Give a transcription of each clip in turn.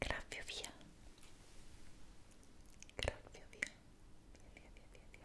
Graffio via, graffio via, via, via, via, via,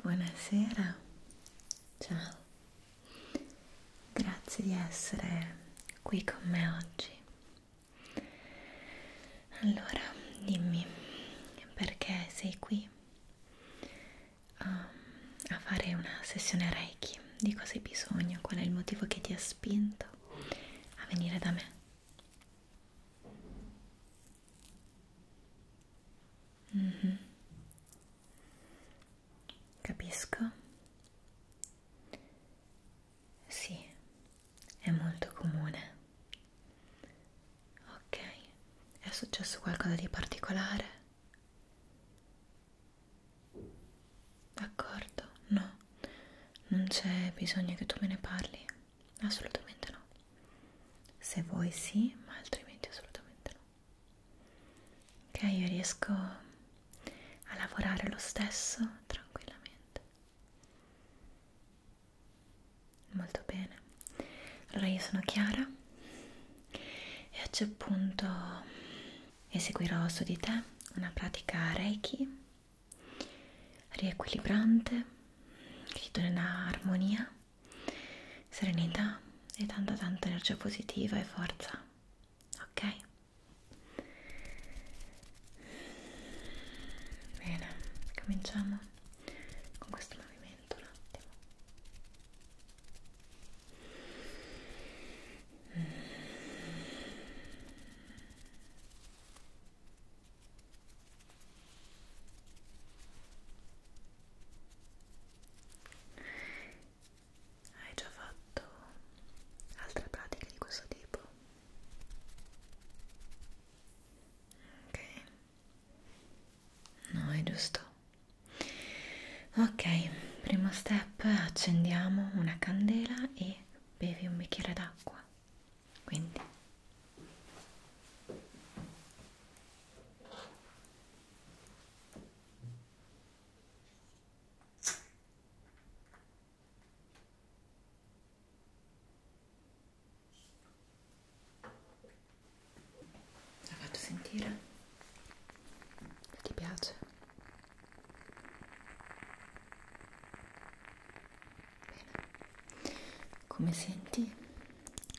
Buonasera, ciao, grazie di essere qui con me oggi. Allora, dimmi perché sei qui a, um, a fare una sessione Reiki, di cosa hai bisogno, qual è il motivo che ti ha spinto a venire da me. Mm -hmm. Capisco. Sì, è molto comune. Ok, è successo qualcosa di particolare? D'accordo, no, non c'è bisogno che tu me ne parli assolutamente no. Se vuoi sì, ma altrimenti assolutamente no. Ok, io riesco a lavorare lo stesso tranquillamente. Molto bene. Allora io sono Chiara e a quel punto eseguirò su di te una pratica Reiki riequilibrante che ti dona armonia serenità e tanta tanta energia positiva e forza ok bene cominciamo con questo movimento un attimo Mm. Hai già fatto altre pratiche di questo tipo? Ok. No, è giusto. Ok, primo step, accendiamo una candela e bevi un bicchiere d'acqua. Quindi la faccio sentire se ti piace bene come senti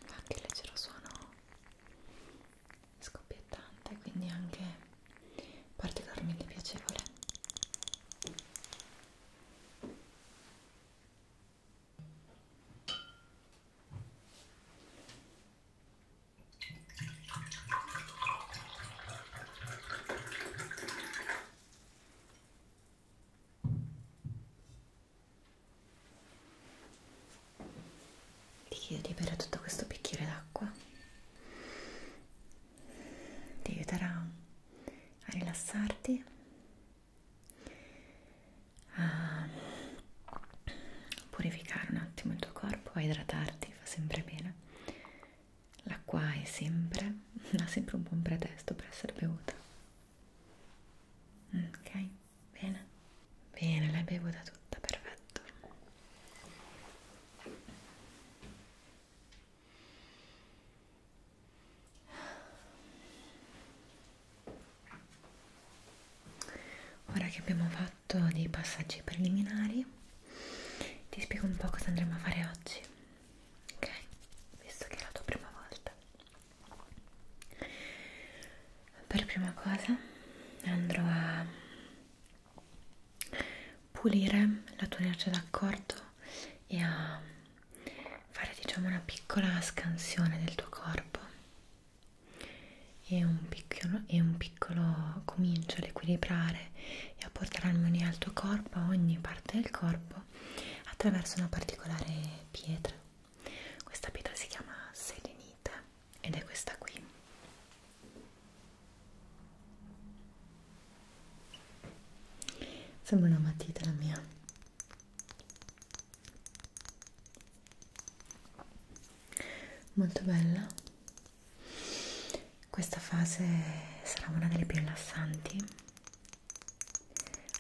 fa anche leggero suono scoppiettante quindi anche particolarmente piacevole ti chiedi di bere tutto questo bicchiere d'acqua. Ti aiuterà a rilassarti, a purificare un attimo il tuo corpo, a idratarti, fa sempre bene. L'acqua è sempre, ha sempre un buon pretesto per essere bevuta. Ok? Bene, bene, l'hai bevuta tutta, perfetto. Ora che abbiamo fatto dei passaggi preliminari, ti spiego un po' cosa andremo a fare oggi, ok? Visto che è la tua prima volta per prima cosa andrò a pulire la tua nerce d'accordo e a fare diciamo una piccola scansione del tuo corpo e un piccolo, e un piccolo comincio ad equilibrare e a portare armonia al tuo corpo, a ogni parte del corpo attraverso una particolare pietra questa pietra si chiama selenite ed è questa qui. Sembra una matita la mia. Molto bella. Questa fase sarà una delle più rilassanti.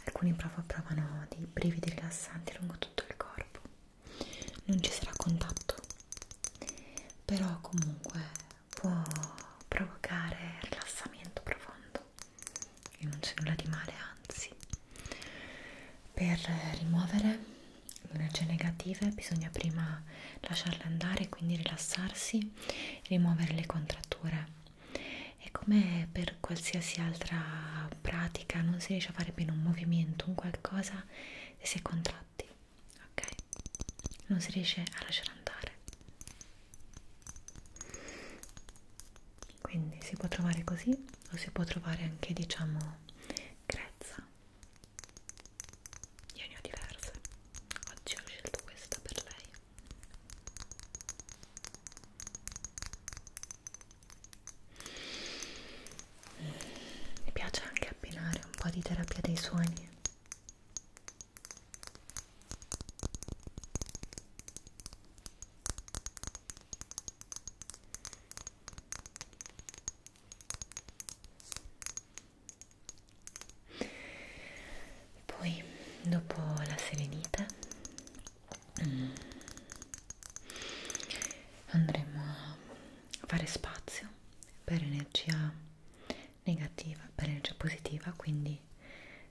Alcuni proprio provano dei brividi rilassanti lungo tutto il corpo corpo non ci sarà contatto però comunque può provocare rilassamento profondo e non c'è nulla di male anzi per rimuovere le energie negative bisogna prima lasciarle andare quindi rilassarsi rimuovere le contratture è come per per qualsiasi altra pratica non si riesce a fare bene un movimento, un qualcosa e si è contratti, ok? Non si riesce a lasciare andare. Quindi si può trovare così o si può trovare anche diciamo grezza. Io ne ho diverse. Oggi ho scelto questa per lei. Mi piace anche abbinare un po' di terapia dei suoni. Poi dopo la selenite Mm. andremo a fare spazio per energia negativa, per energia positiva, quindi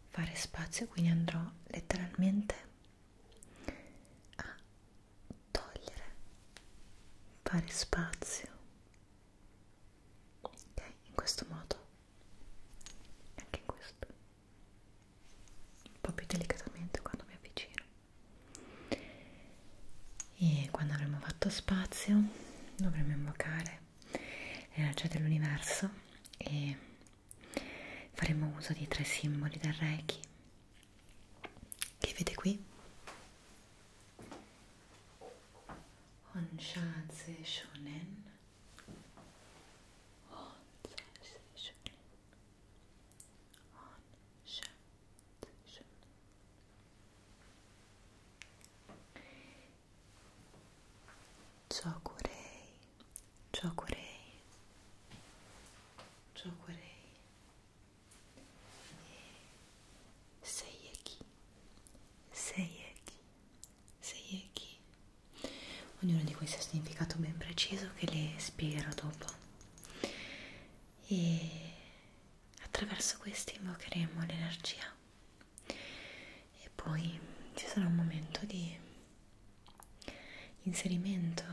fare spazio, quindi andrò letteralmente a togliere, fare spazio, ok, in questo modo, anche in questo un po' più delicatamente quando mi avvicino e quando avremo fatto spazio dovremo invocare l'energia dell'universo e faremo uso di tre simboli del Reiki che vede qui Onshaze Shonen Onshaze Shonen on sensation. Giocorei, giocorei, giocorei. Sei chi? Sei chi? Sei chi? Ognuno di questi ha un significato ben preciso che le spiegherò dopo e attraverso questi invocheremo l'energia e poi ci sarà un momento di inserimento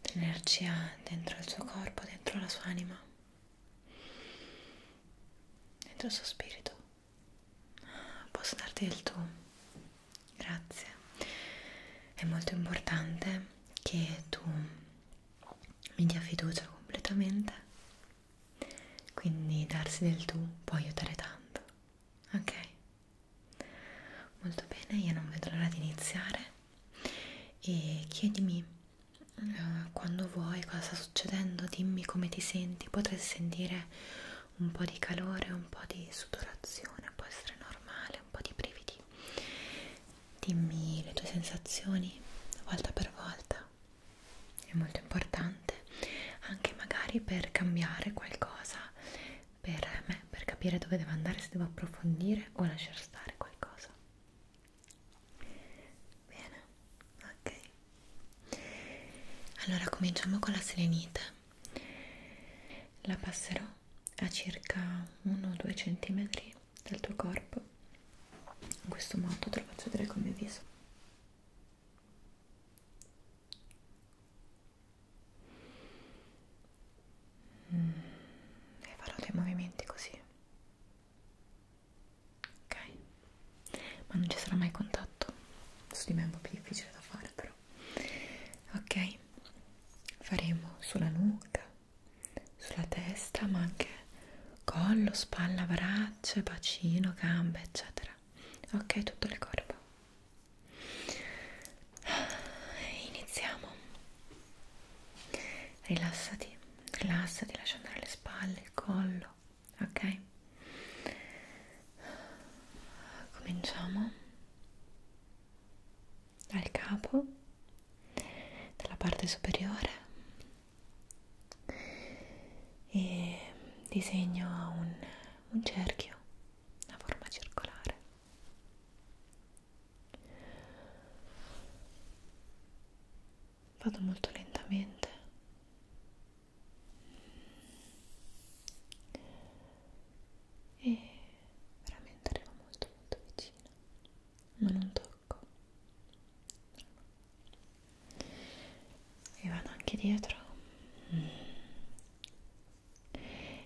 dell'energia dentro il suo corpo, dentro la sua anima, dentro il suo spirito. Posso darti del tu grazie. È molto importante che tu mi dia fiducia completamente, quindi darsi del tu può aiutare tanto, ok? Molto bene, io non vedo l'ora di iniziare e chiedimi uh, quando vuoi cosa sta succedendo, dimmi come ti senti, potrai sentire un po' di calore, un po' di sudorazione, può essere normale, un po' di brividi occhi. Dimmi le tue sensazioni volta per volta. È molto importante anche magari per cambiare qualcosa per me, per capire dove devo andare, se devo approfondire o lasciar stare qualcosa. Bene, ok. Allora cominciamo con la selenite. La passerò a circa 1-2 cm dal tuo corpo in questo modo te lo faccio vedere con il mio viso mm, e farò dei movimenti così ok ma non ci sarà mai contatto su di me è un po' più difficile da fare però dentro ok faremo sulla nuca sulla testa ma anche collo spalla braccia bacino gambe eccetera ok tutto il corpo iniziamo rilassati rilassati lascia andare le spalle il collo ok cominciamo dal capo, dalla parte superiore e disegno un, un cerchio a forma circolare. Vado molto lentamente. E veramente ero molto molto vicina ma non tocco e vado anche dietro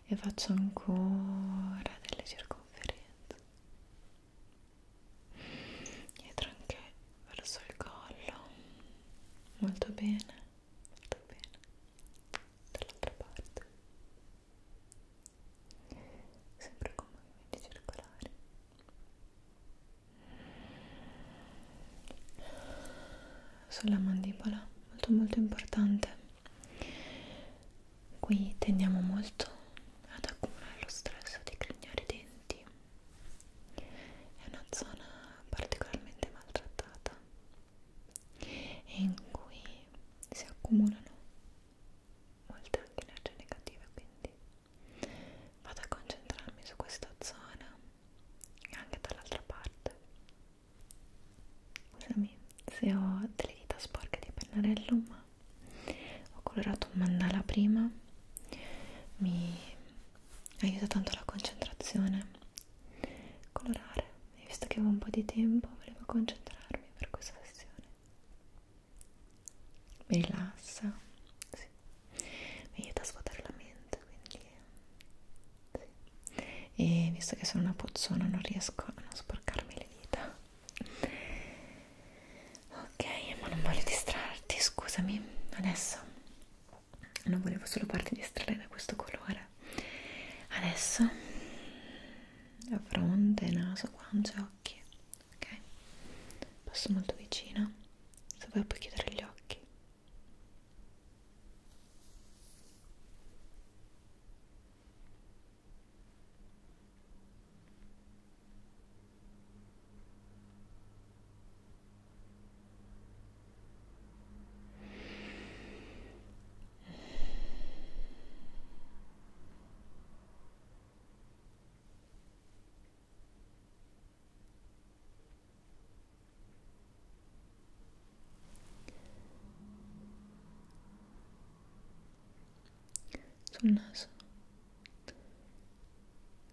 e faccio ancora delle circonferenze dietro anche verso il collo molto bene molto bene dall'altra parte sempre con movimenti circolari sulla mandibola molto molto importante qui tendiamo molto ad accumulare lo stress di grignare i denti è una zona particolarmente maltrattata e in cui si accumulano molte anche energie negative quindi vado a concentrarmi su questa zona e anche dall'altra parte scusami se ho delle dita sporche di pennarello ma ho colorato un mandala prima mi aiuta tanto la concentrazione colorare e visto che avevo un po' di tempo volevo concentrarmi per questa sessione mi rilassa sì. mi aiuta a svuotare la mente quindi sì. e visto che sono una puzzona non riesco a non sporcarmi le dita ok ma non voglio distrarti scusami adesso non volevo solo farti distrarre da questo colore adesso la fronte, naso, guance, occhi, ok? Passo molto vicina, se vuoi puoi chiudere gli occhi sul naso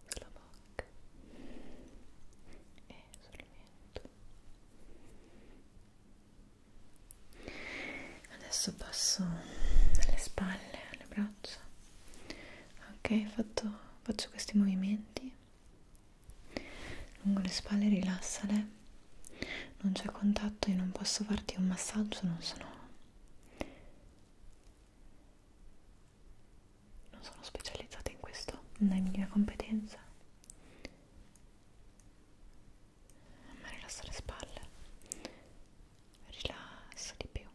sulla bocca e sul mento adesso passo alle spalle, alle braccia ok, fatto, faccio questi movimenti lungo le spalle rilassale non c'è contatto, io non posso farti un massaggio, non sono non sono specializzata in questo, non è mia competenza ma rilassa le spalle rilassa di più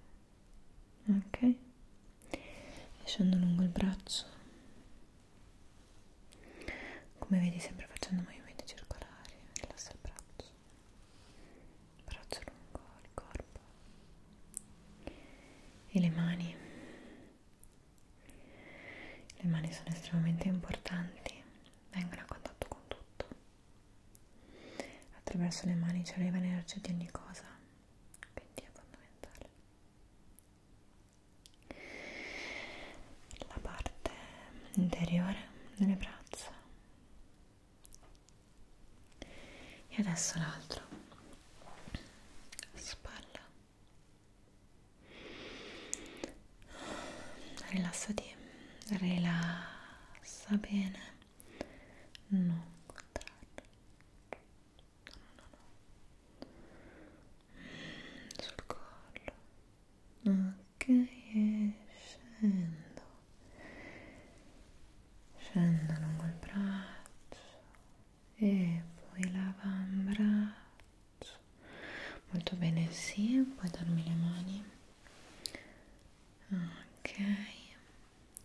ok e scendo lungo il braccio come vedi sempre facendo movimenti circolari rilassa il braccio braccio lungo il corpo e le mani le mani sono estremamente importanti vengono a contatto con tutto. Attraverso le mani ci arriva l'energia di ogni cosa, quindi è fondamentale. La parte interiore delle braccia. E adesso l'altro. Spalla rilassati rilassa bene non contrarre no no no no sul collo ok e scendo scendo lungo il braccio e poi l'avambraccio rosso molto bene sì puoi darmi le mani ok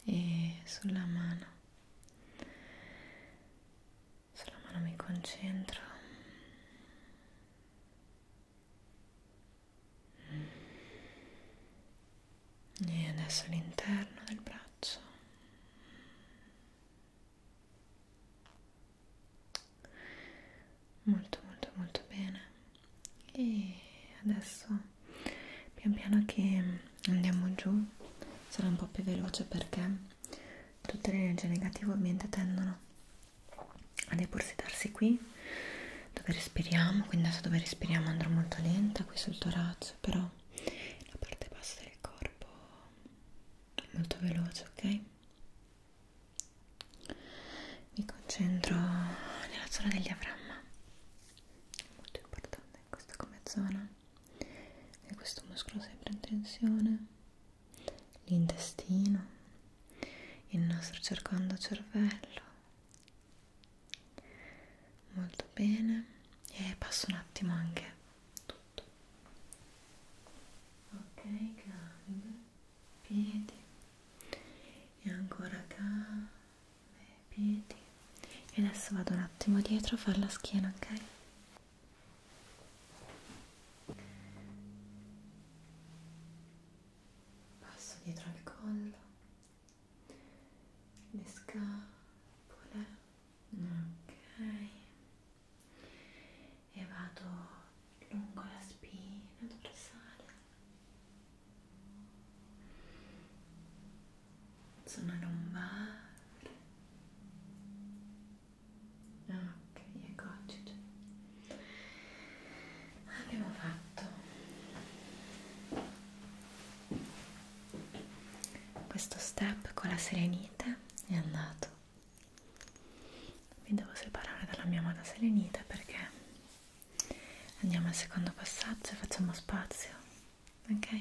e sulla mano sulla mano mi concentro e adesso l'interno del braccio molto molto molto bene e adesso pian piano che andiamo giù sarà un po' più veloce perché tutte le energie negative ovviamente tendono a depositarsi qui dove respiriamo quindi adesso dove respiriamo andrò molto lenta qui sul torace però la parte bassa del corpo è molto veloce ok mi concentro nella zona del diaframma è molto importante questa come zona e questo muscolo sempre in tensione l'intestino il nostro cercando cervello molto bene e passo un attimo anche tutto ok cambio piedi e ancora calme piedi e adesso vado un attimo dietro a fare la schiena ok passo dietro al collo le scapole ok e vado lungo la spina dorsale zona lombare ok eccoci già. abbiamo fatto questo step con la serenite è andato mi devo separare dalla mia amata selenita perché andiamo al secondo passaggio e facciamo spazio ok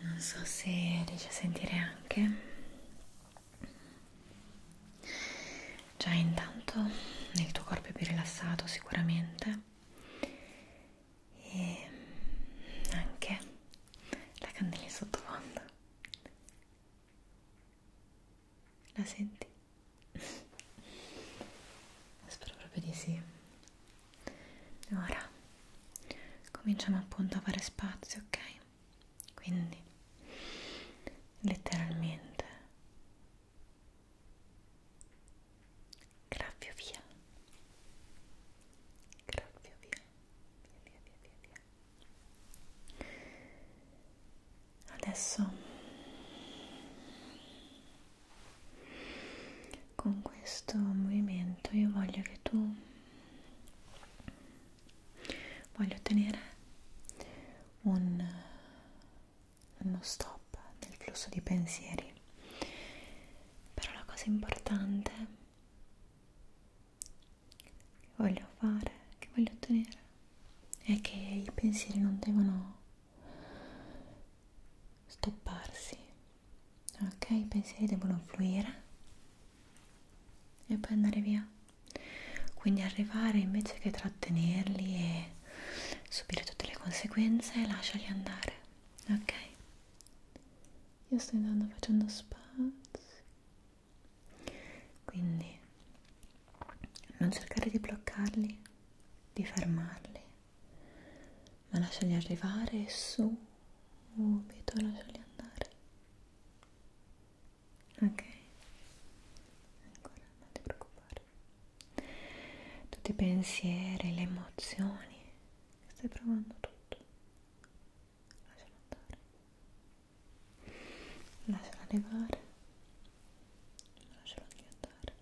non so se riesci a sentire anche già intanto il tuo corpo è più rilassato sicuramente e anche la candela in sottofondo. La senti? Spero proprio di sì. Ora cominciamo appunto a fare spazio, ok? Quindi letteralmente graffio via graffio via via via via via adesso con questo movimento io voglio che tu voglio ottenere un, uno stop del flusso di pensieri però la cosa importante che voglio fare, che voglio ottenere, è che i pensieri non devono stopparsi, ok? I pensieri devono fluire e poi andare via. Quindi arrivare invece che trattenerli e subire tutte le conseguenze, lasciali andare, ok? io sto andando facendo spazi quindi non cercare di bloccarli di fermarli ma lasciali arrivare subito lasciali andare ok ancora non ti preoccupare tutti i pensieri le emozioni stai provando tutto lasciala andare lasciala arrivare lasciala andare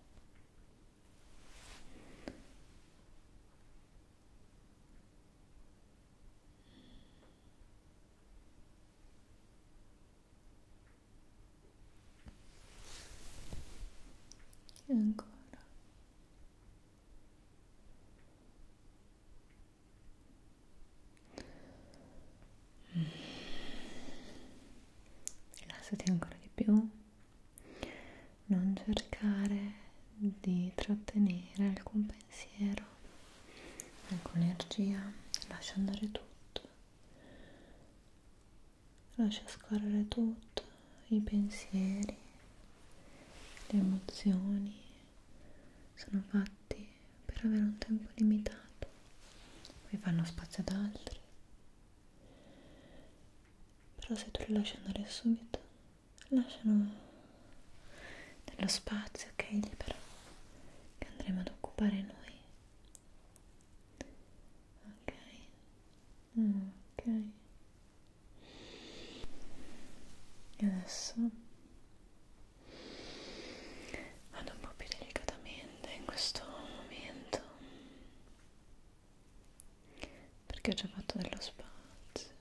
e ancora Mm. rilassati ancora di più non cercare di trattenere alcun pensiero alcuna energia lascia andare tutto lascia scorrere tutto i pensieri, le emozioni sono fatti per avere un tempo limitato, poi fanno spazio ad altri. Però se tu li lasci andare subito, lasciano dello spazio, ok, libero, che andremo ad occupare noi. Ok? Ah, ok. E adesso vado un po' più delicatamente in questo momento perché ho già fatto dello spazio.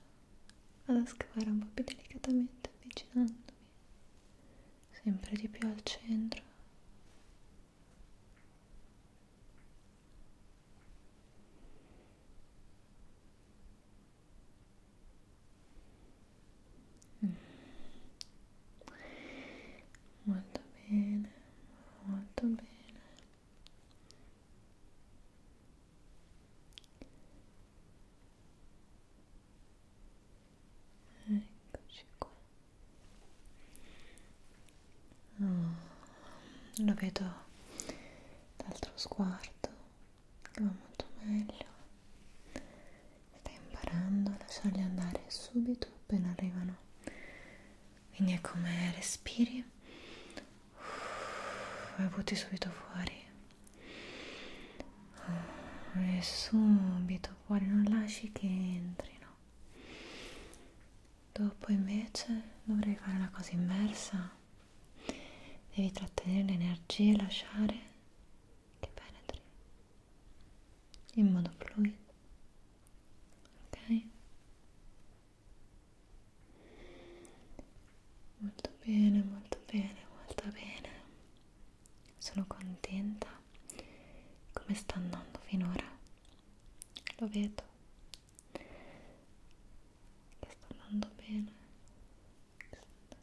Vado a scavare un po' più delicatamente avvicinandomi sempre di più al centro Mm. Molto bene, molto bene. Eccoci qua. Oh, lo vedo l'altro sguardo che va molto meglio stai imparando a lasciarli andare subito appena arrivano quindi è come respiri e butti subito fuori e subito fuori non lasci che entrino dopo invece dovrei fare la cosa inversa devi trattenere le energie e lasciare che penetri in modo fluido ok molto bene molto bene molto bene sono contenta come sta andando finora lo vedo che sta andando bene che sta andando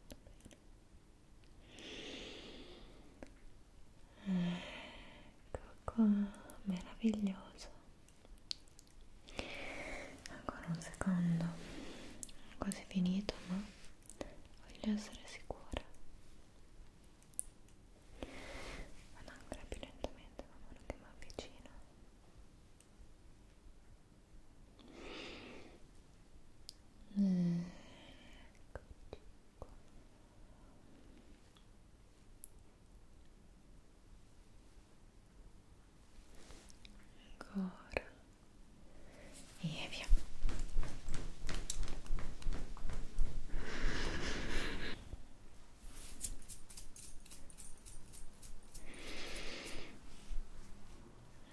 bene ecco qua meraviglioso ancora un secondo quasi finito ma voglio essere sicura vado ancora più lentamente man mano che mi avvicino Eccoci qua. Ancora e via.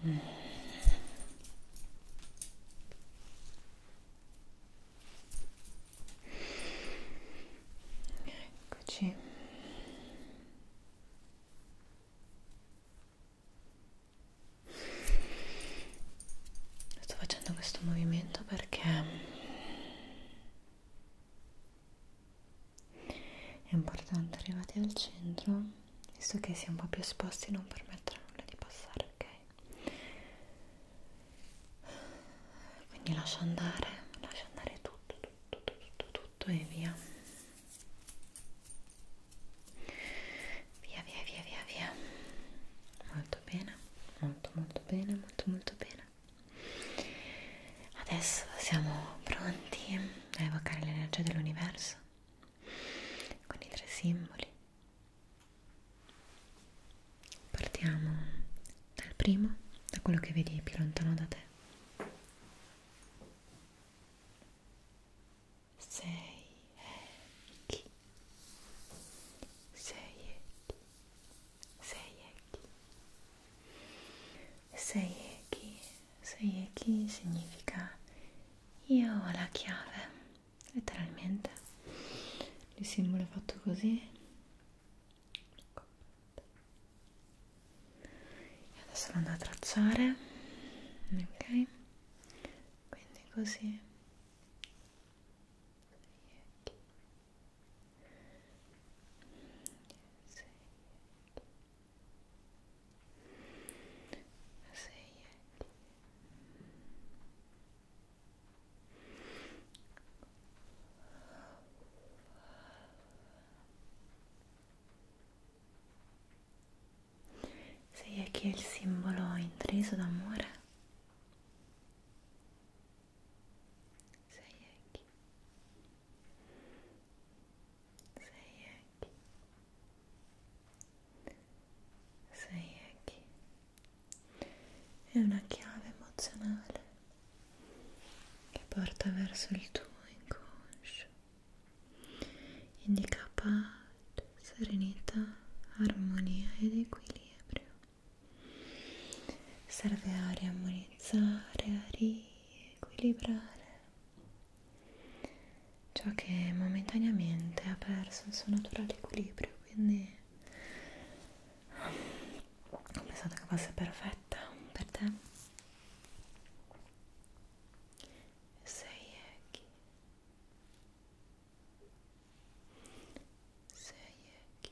Mm. Eccoci. Sto facendo questo movimento perché è importante arrivati al centro visto che si è un po' più esposti non permettere a nulla di passare ok quindi lascia andare lascia andare tutto tutto tutto tutto e via via via via via via molto bene molto molto bene molto molto bene Adesso siamo pronti a evocare l'energia dell'universo con i tre simboli. Partiamo dal primo, da quello che vedi più lontano da te. 6 ecchi 6 ecchi 6 ecchi 6 ecchi Seieki significa io ho la chiave, letteralmente. Il simbolo è fatto così. E adesso lo andrò a tracciare. Ok? Quindi così. Seieki. Seieki sei etti sei è chi è il simbolo intriso d'amore sei è chi sei aqui, sei aqui. È una chiave emozionale che porta verso il tuo inconscio, indica pace, serenità, armonia ed equilibrio. Serve a riammonizzare, a riequilibrare ciò che momentaneamente ha perso il suo naturale equilibrio quindi ho pensato che fosse perfetta per te sei ecchi sei ecchi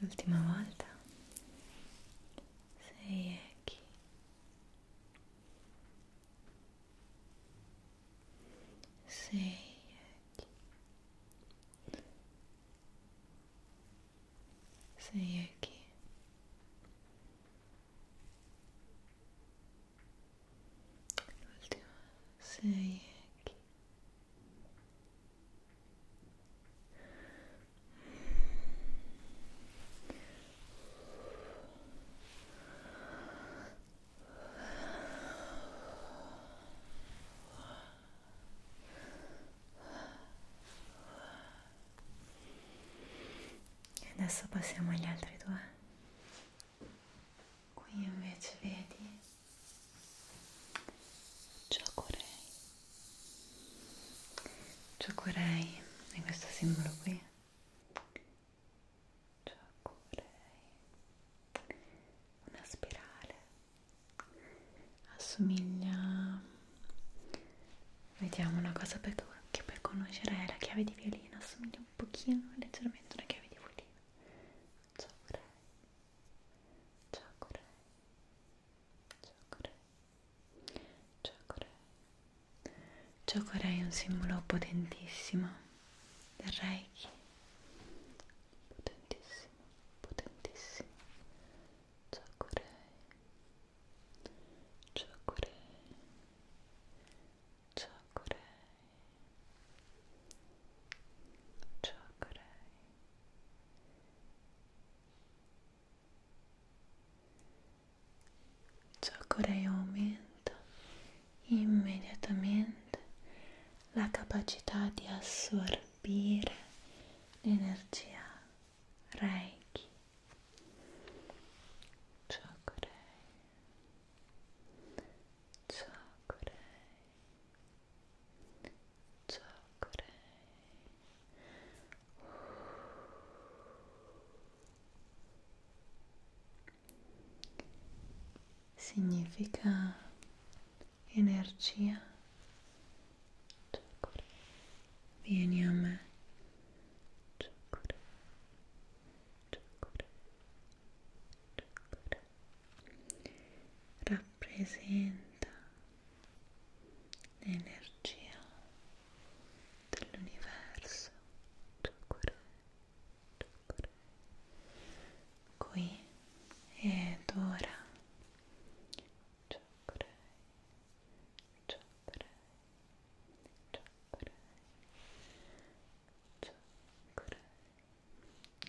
l'ultima volta sei Eki sei Eki sei Eki l'ultima sei Eki e adesso passiamo agli altri due. Qui invece vedi Giocorei. Giocorei è questo simbolo qui. Giocorei. Una spirale. Assomiglia. Vediamo una cosa per che per conoscere è la chiave di violino. Assomiglia un pochino leggermente a una chiave di violino. Giocorei. Giocorei. Giocorei è un simbolo potentissimo del Reiki potentissimo, potentissimo Giocorei Giocorei Giocorei Giocorei Ciò Corea aumenta immediatamente la capacità di assorbire l'energia Reiki. Ciao Corea. Ciao Corea. Ciao Corei. Significa energia. Ciao Corei. Vieni a me. Ciao Corei. Ciao Corei. Ciao Corei. Rappresenta l'energia dell'universo, chakra, chakra, qui ed ora, chakra, chakra, chakra, chakra, chakra, chakra.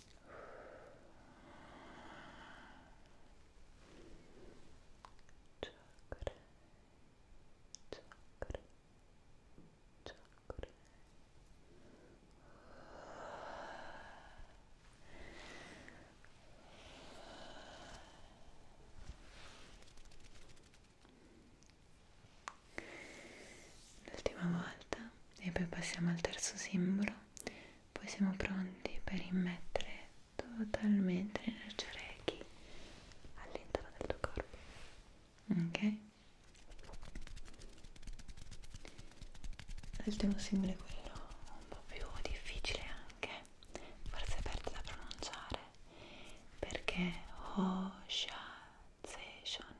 chakra chakra chakra L'ultima volta e poi passiamo al terzo simbolo poi siamo pronti per immettere totalmente l'energia Reiki all'interno del tuo corpo ok? l'ultimo simbolo è quello un po' più difficile anche forse aperto da pronunciare perché ho Shonen Otsase Shonen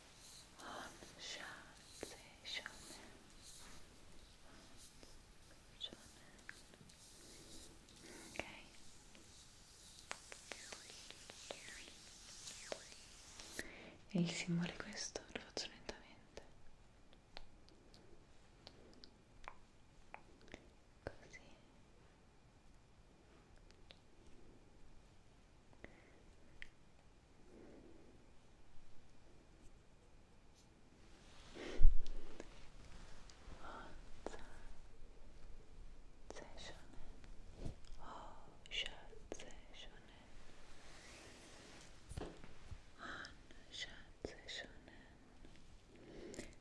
on sensation ok e il simbolo è questo, lo faccio lentamente così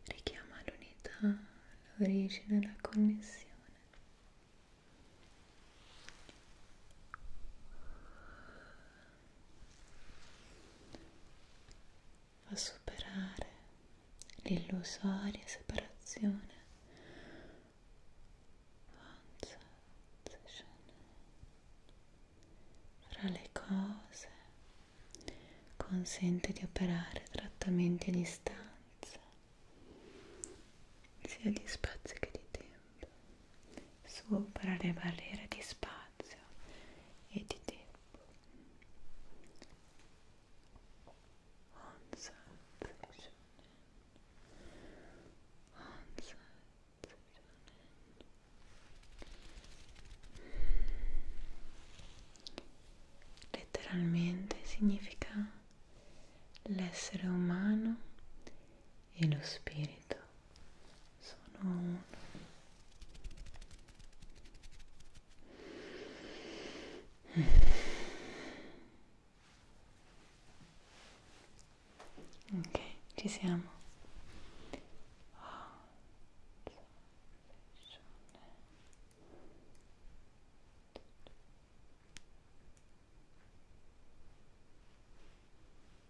richiama l'unità, l'origine, la connessione a superare l'illusoria separazione fra le cose consente di operare trattamenti a distanza sia di spazi che di tempo sopra le barriere di spazio e di tempo. On sensation, on sensation. Letteralmente significa l'essere umano e lo spirito sono uno ok ci siamo oh. Due,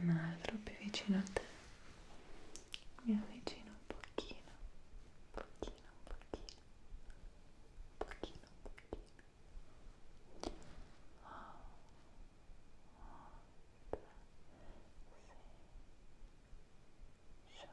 un altro più vicino a te mi avvicino un pochino, un pochino, un pochino, un pochino, un pochino. Oh, oh, sei, show. Oh,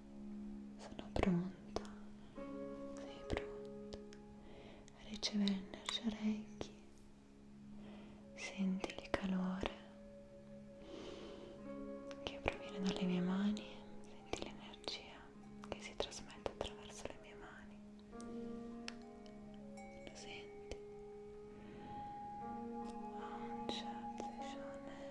Sono pronta, sei pronta a ricevere energia Reiki. Senti il calore che proviene dalle mie mani, senti l'energia che si trasmette attraverso le mie mani. Lo senti? Om Shanti Shonen.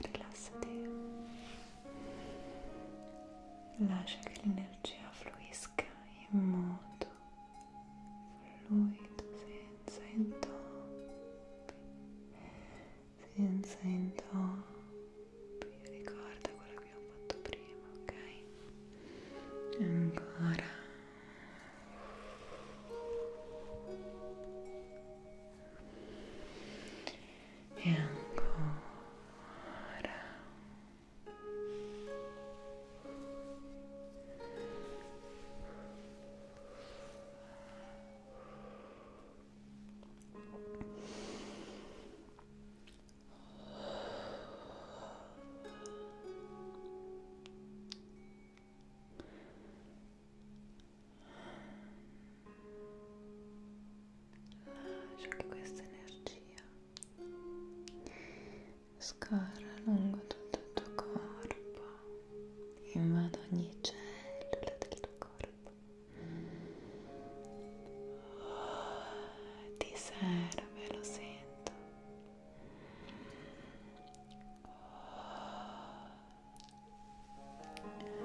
rilassati lascia che l'energia fluisca in modo fluido, sì senza intoppi, senza intoppi, ricorda quello che ho fatto prima, ok? Ancora. E ancora. Ancora. Lascia che questa energia scorra lungo tutto il tuo corpo invado ogni cellula del tuo corpo oh, ti serve, lo sento Oh.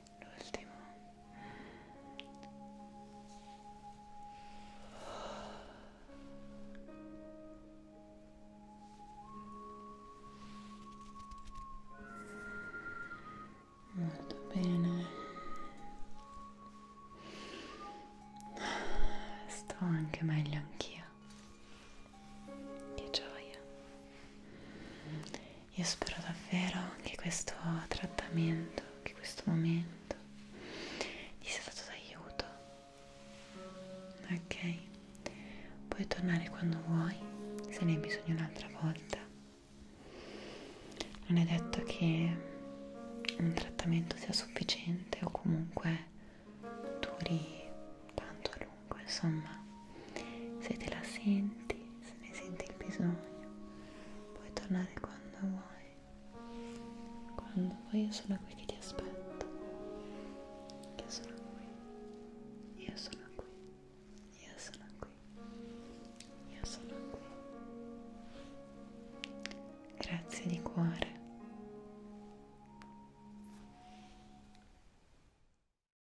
l'ultimo molto bene sto anche meglio anch'io che gioia io spero davvero che questo trattamento, che questo momento ti sia stato d'aiuto. Ok? Puoi tornare quando vuoi, se ne hai bisogno un'altra volta. Non è detto che un trattamento sia sufficiente o comunque duri tanto a lungo, insomma, se te la senti, se ne senti il bisogno, puoi tornare quando vuoi. Quando vuoi io sono qui che ti aspetto. Io sono qui. Io sono qui. Io sono qui. Io sono qui. Grazie di cuore.